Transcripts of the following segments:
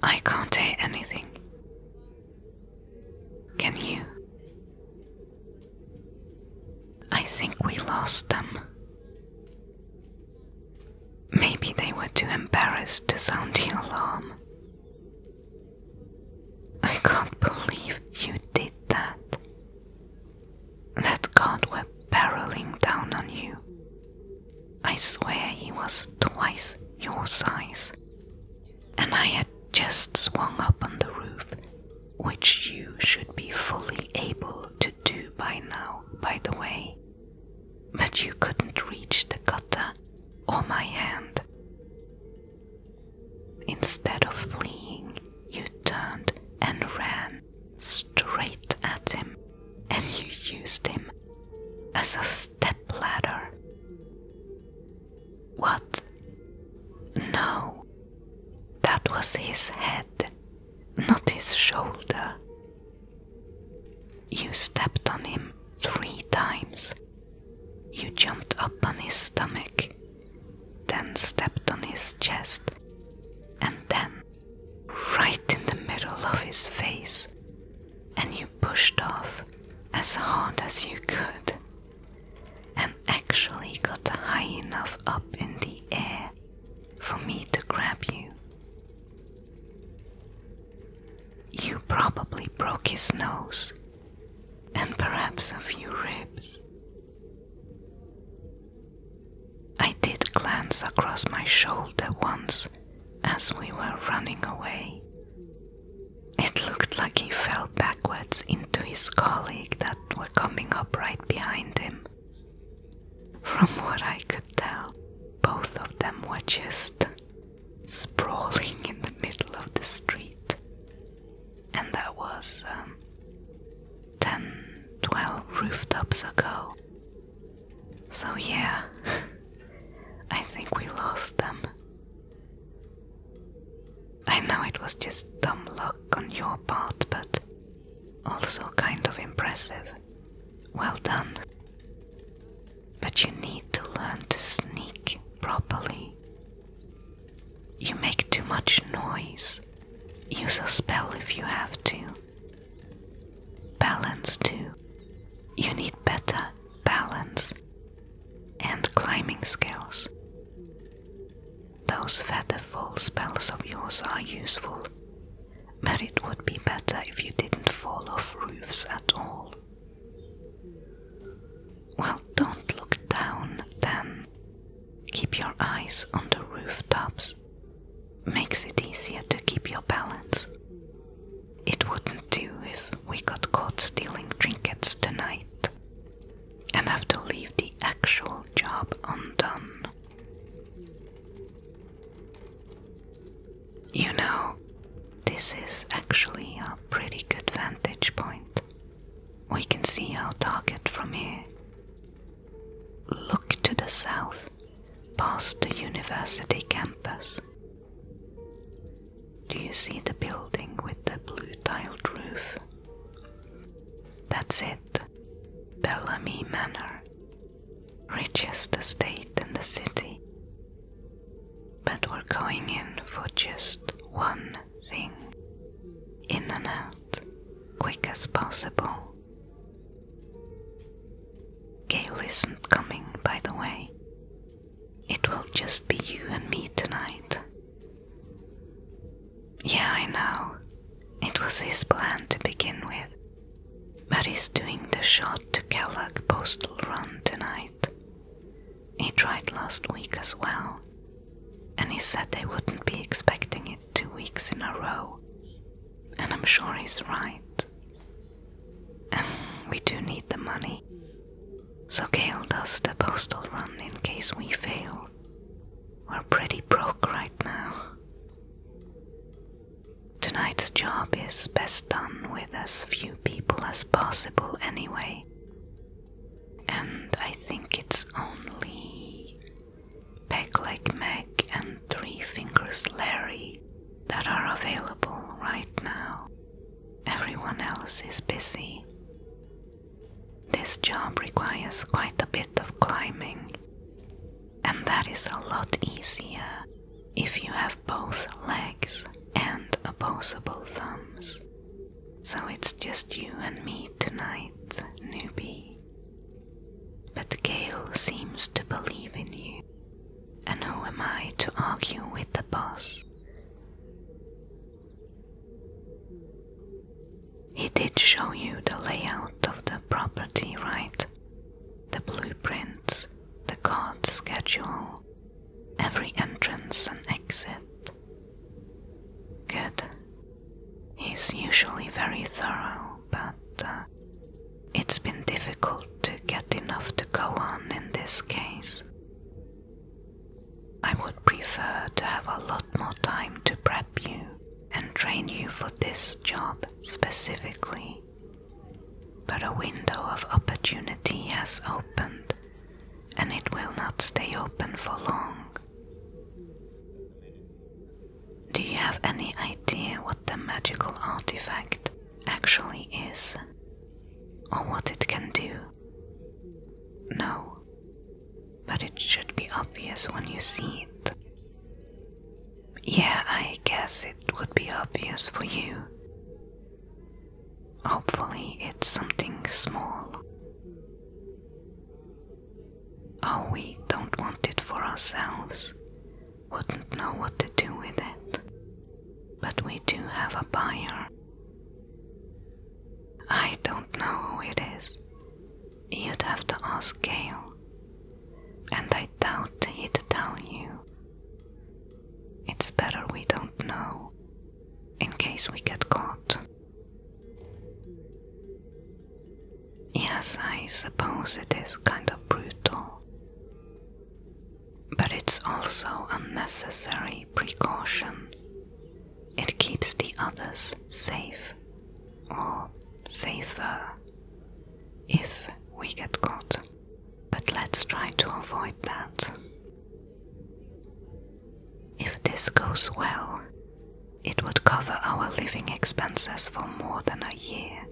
I can't hear anything. Can you? I think we lost them. Maybe they were too embarrassed to sound the alarm. I can't believe you did that. That god were barreling down on you. I swear he was twice your size. And I had just swung up on the roof, which you should be fully able to do by now, by the way. But you couldn't reach the gutter or my hand. Instead of fleeing, you turned and ran straight at him, and you used him as a stepladder. What? No, that was his head, not his shoulder. You stepped on him three times you jumped up on his stomach, then stepped on his chest, and then, right in the middle of his face, and you pushed off as hard as you could, and actually got high enough up in the air for me to grab you. You probably broke his nose and perhaps a few ribs. I did glance across my shoulder once as we were running away. It looked like he fell backwards into his colleague that were coming up right behind him. From what I could tell, both of them were just sprawling in the middle of the street and that was um, 10, 12 rooftops ago. So, yeah, I think we lost them. I know it was just dumb luck on your part, but also kind of impressive. Well done. But you need to learn to sneak properly you make too much noise. Use a spell if you have to. Balance too. You need better balance and climbing skills. Those featherfall spells of yours are useful, but it would be better if you didn't fall off roofs at all. Well, don't look down then. Keep your eyes on the rooftops. Makes it easier to keep your balance. It wouldn't do if we got caught stealing trinkets tonight and have to leave the actual job undone. You know, this is actually a pretty good vantage point. We can see our target from here. Look to the south, past the university campus. Do you see the building with the blue tiled roof? That's it, Bellamy Manor. Richest estate in the city. But we're going in for just one thing. In and out, quick as possible. Gail isn't coming, by the way. It will just be you and me tonight. Yeah, I know. It was his plan to begin with. But he's doing the shot to Kellogg postal run tonight. He tried last week as well, and he said they wouldn't be expecting it two weeks in a row. And I'm sure he's right. we do need the money. So Gail does the postal run in case we fail. We're pretty broke right now. Tonight's job is best done with as few people as possible anyway, and I think it's only Peg Like Meg and Three Fingers Larry that are available right now. Everyone else is busy. This job requires quite a bit of climbing, and that is a lot easier if you have both legs and opposable thumbs. So it's just you and me tonight, newbie. But Gail seems to believe in you, and who am I to argue with the boss? He did show you the layout of the property, right? The blueprints, the card schedule, every entrance and exit. Good. He's usually very thorough, but uh, it's been difficult to get enough to go on in this case. I would prefer to have a lot more time to prep you and train you for this job specifically. But a window of opportunity has opened, and it will not stay open for long. Do you have any idea what the magical artifact actually is? Or what it can do? No, but it should be obvious when you see it. Yeah, I guess it would be obvious for you. Hopefully, it's something small. Oh, we don't want it for ourselves. Wouldn't know what to do with it. But we do have a buyer. I don't know who it is. You'd have to ask Gail. And I doubt he'd tell you. It's better we don't know, in case we get caught. Yes, I suppose it is kind of brutal, but it's also unnecessary precaution. It keeps the others safe, or safer, if we get caught. But let's try to avoid that. If this goes well, it would cover our living expenses for more than a year.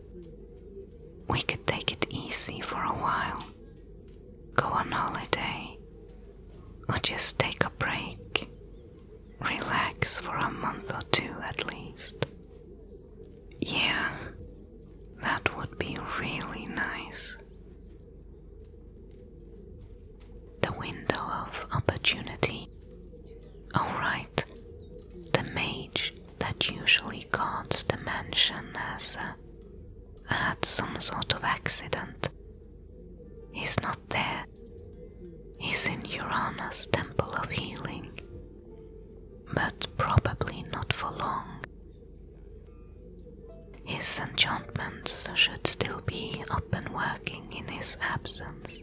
We could take it easy for a while, go on holiday, or just take a break, relax for a month or two at least. Yeah, that would be really nice. The window of opportunity. Alright, the mage that usually guards the mansion has had some sort of accident. He's not there. He's in Urana's Temple of Healing, but probably not for long. His enchantments should still be up and working in his absence.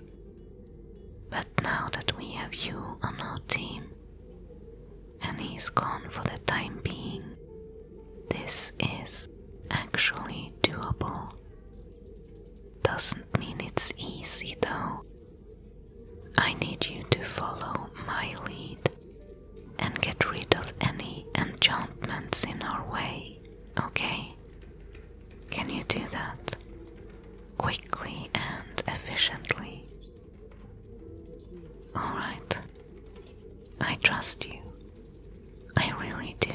But now that we have you on our team, and he's gone for the time being, this is actually doable. Doesn't mean it's easy though. I need you to follow my lead and get rid of any enchantments in our way. Okay. Can you do that? Quickly and efficiently. Alright. I trust you. I really do.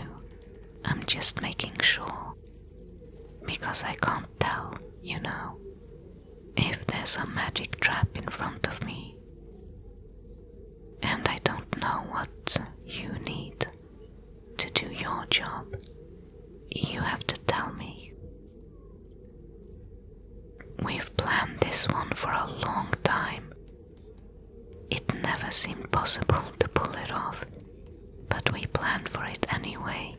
I'm just making sure. Because I can't tell, you know, if there's a magic trap in front of me and I don't know what you need to do your job. You have to tell me. We've planned this one for a long time. It never seemed possible to pull it off, but we planned for it anyway,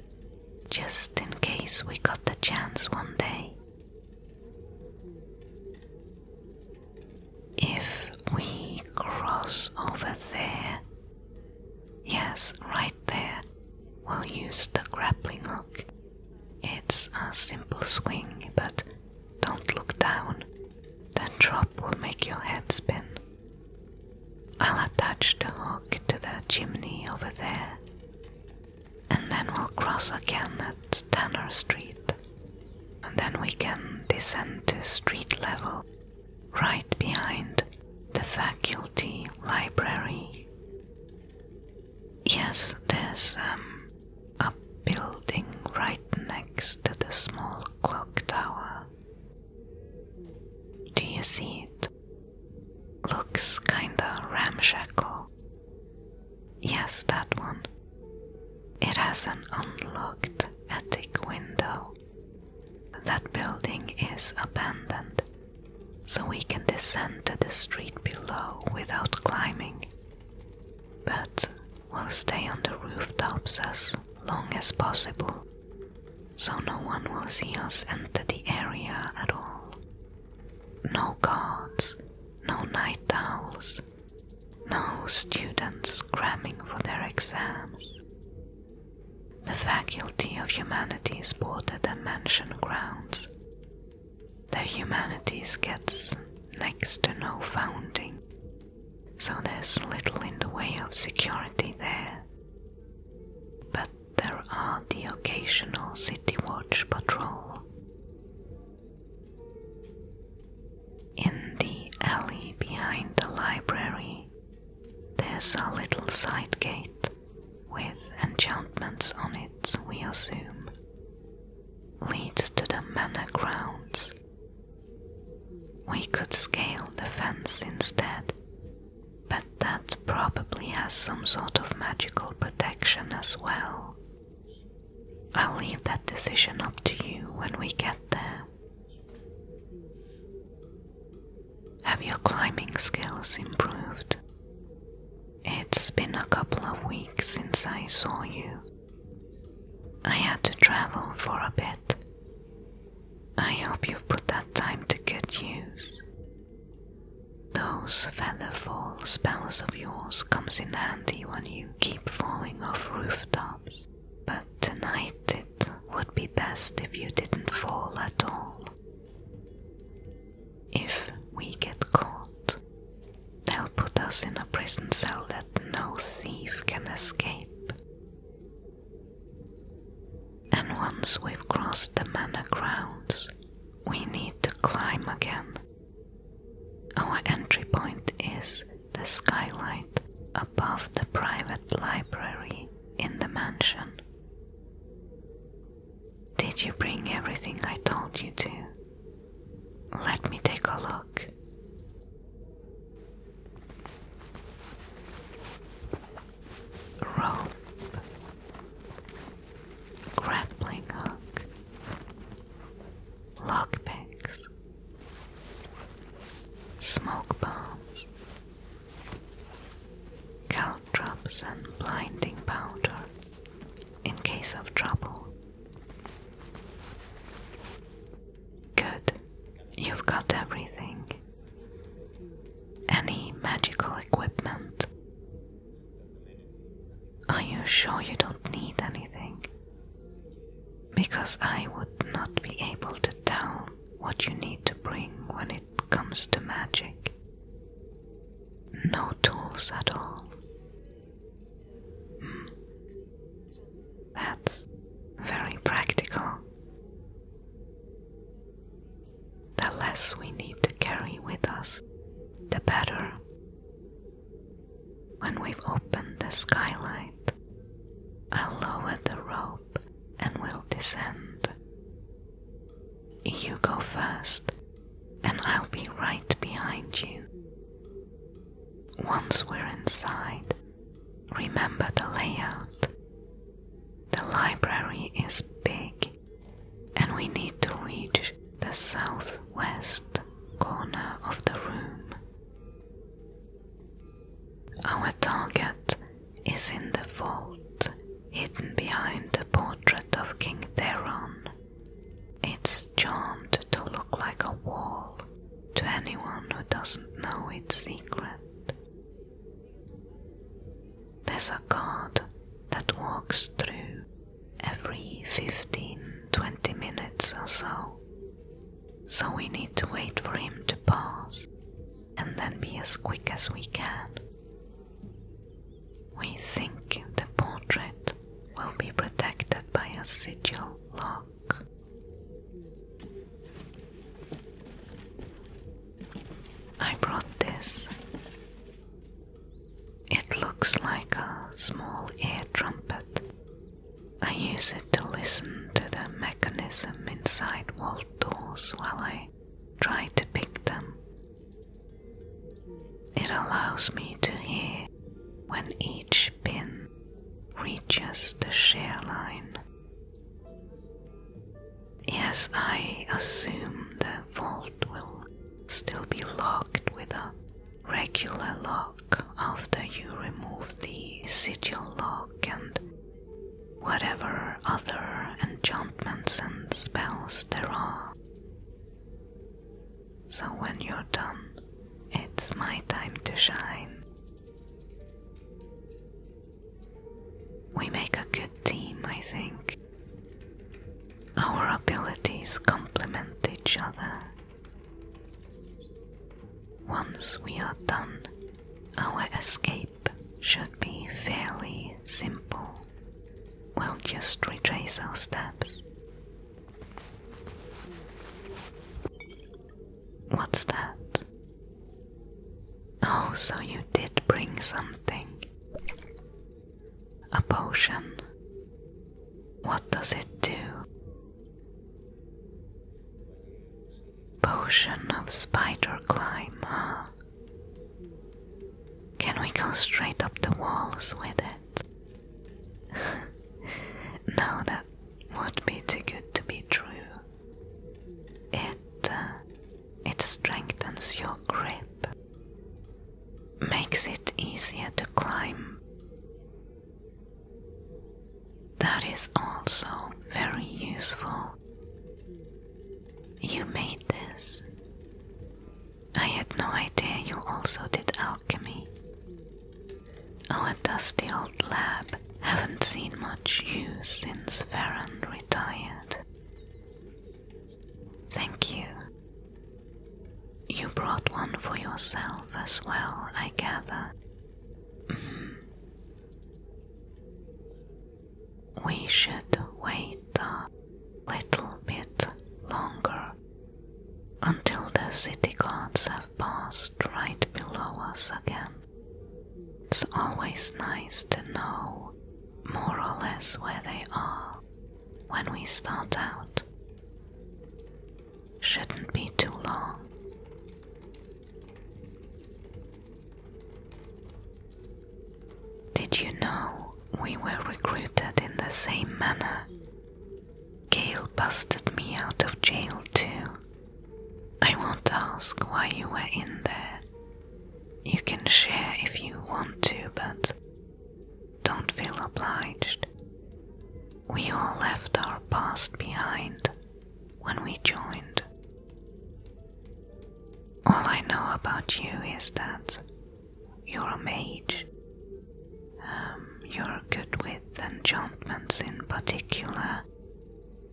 just in case we got the chance one day. If we cross over there, yes, right there, we'll use the grappling hook. It's a simple swing, but don't look down. That drop will make your head spin. I'll attach the hook to the chimney over there, and then we'll cross again at Tanner Street, and then we can descend to street level right behind the faculty library. Yes, there's um, a building right next to the small clock tower. Do you see it? Looks kinda ramshackle. Yes, that one. It has an unlocked attic window. That building is abandoned, so we can descend to the street below without climbing. But we'll stay on the rooftops as long as possible, so no one will see us enter the area at all. No guards, no night owls, no students cramming for their exams. The Faculty of Humanities border the mansion grounds. The humanities gets next to no funding, so there's little in the way of security there. But there are the occasional city watch patrol, in the alley behind the library, there's a little side gate with enchantments on it, we assume. Leads to the manor grounds. We could scale the fence instead, but that probably has some sort of magical protection as well. I'll leave that decision up to you when we get there. Have your climbing skills improved? It's been a couple of weeks since I saw you. I had to travel for a bit. I hope you've put that time to good use. Those feather fall spells of yours comes in handy when you keep falling off rooftops. But tonight it would be best if you didn't fall at all. If we get caught, they'll put us in a prison cell that no thief can escape. And once we've crossed the manor grounds, we need to climb again. Our entry point is the skylight above the private library in the mansion. Did you bring everything I told you to? Let me take a look. Rope, grappling hook, lockpicks, smoke bombs, caltrops, and blinding powder in case of trouble. Good, you've got everything. Any magical equipment? Are you sure you don't need anything? because I would not be able to tell what you need to bring when it comes to magic. No tools at all. Hmm. That's very practical. The less we need to carry with us, the better. When we've opened the skylight, I'll lower the rope and we'll descend. You go first, and I'll be right behind you. Once we're inside, remember the layout. The library is big, and we need to reach the southwest corner of the room. Our target is in the vault, hidden behind the portrait of King Theron. It's charmed to look like a wall to anyone who doesn't know its secret. There's a guard that walks through every 15 20 minutes or so so we need to wait for him to pass and then be as quick as we can. We think the portrait will be protected by a sigil lock. I brought this. It looks like a small ear trumpet I use it to listen to the mechanism inside vault doors while I try to pick them. It allows me to hear when each pin reaches the shear line. Yes, I assume the vault will still be locked with a regular lock after you remove the sigil lock and whatever other enchantments and spells there are. So when you're done, it's my time to shine. We make a good team, I think. Our abilities complement each other once we are done, our escape should be fairly simple. We'll just retrace our steps. What's that? Oh, so you did bring something. A potion. What does it do? Potion of Spider Climb, Can we go straight up the walls with it? no, that would be too good to be true. It, uh, it strengthens your grip, makes it easier to climb, that is also very useful. You made this. I had no idea you also did alchemy. Our oh, dusty old lab haven't seen much use since Farron retired. Thank you. You brought one for yourself as well, I gather. We should wait a little bit longer until the city guards have passed right below us again. It's always nice to know more or less where they are when we start out shouldn't be too long. Did you know we were recruited in the same manner? Gail busted me out of jail too. I won't ask why you were in there. You can share if you want to, but don't feel obliged. We all left our past behind when we joined. All I know about you is that you're a mage. Um, you're good with enchantments in particular,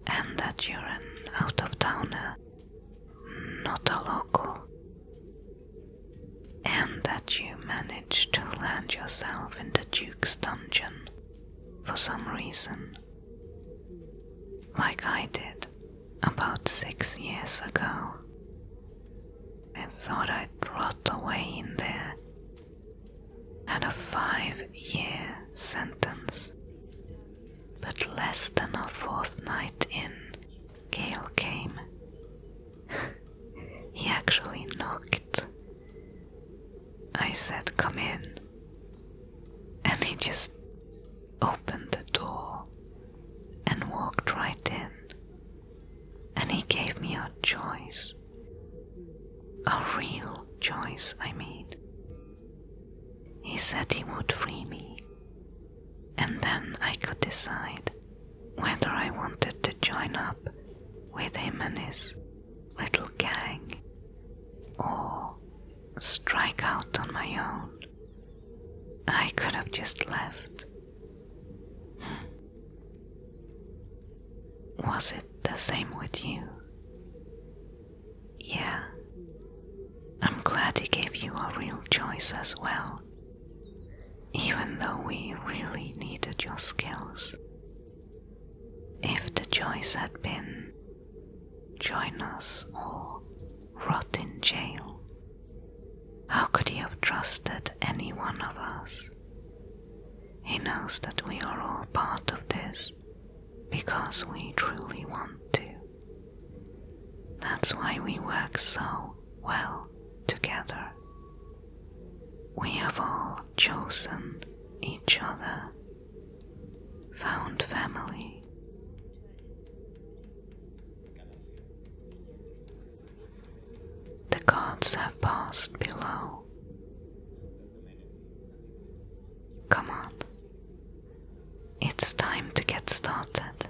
and that you're an out of towner, not a local, and that you managed to land yourself in the Duke's dungeon for some reason, like I did about six years ago. I thought I'd rot away in there, had a five year sentence. But less than a fortnight in, Gail came. he actually knocked. I said, Come in. And he just opened the door and walked right in. And he gave me a choice. A real choice, I mean. He said he would free me. And then I could decide whether I wanted to join up with him and his little gang, or strike out on my own. I could have just left. Hmm. Was it the same with you? Yeah. I'm glad he gave you a real choice as well, even though we really needed your skills. If the choice had been join us or rot in jail, how could he have trusted any one of us? He knows that we are all part of this because we truly want to. That's why we work so well together. We have all chosen each other, found family. The gods have passed below. Come on. It's time to get started.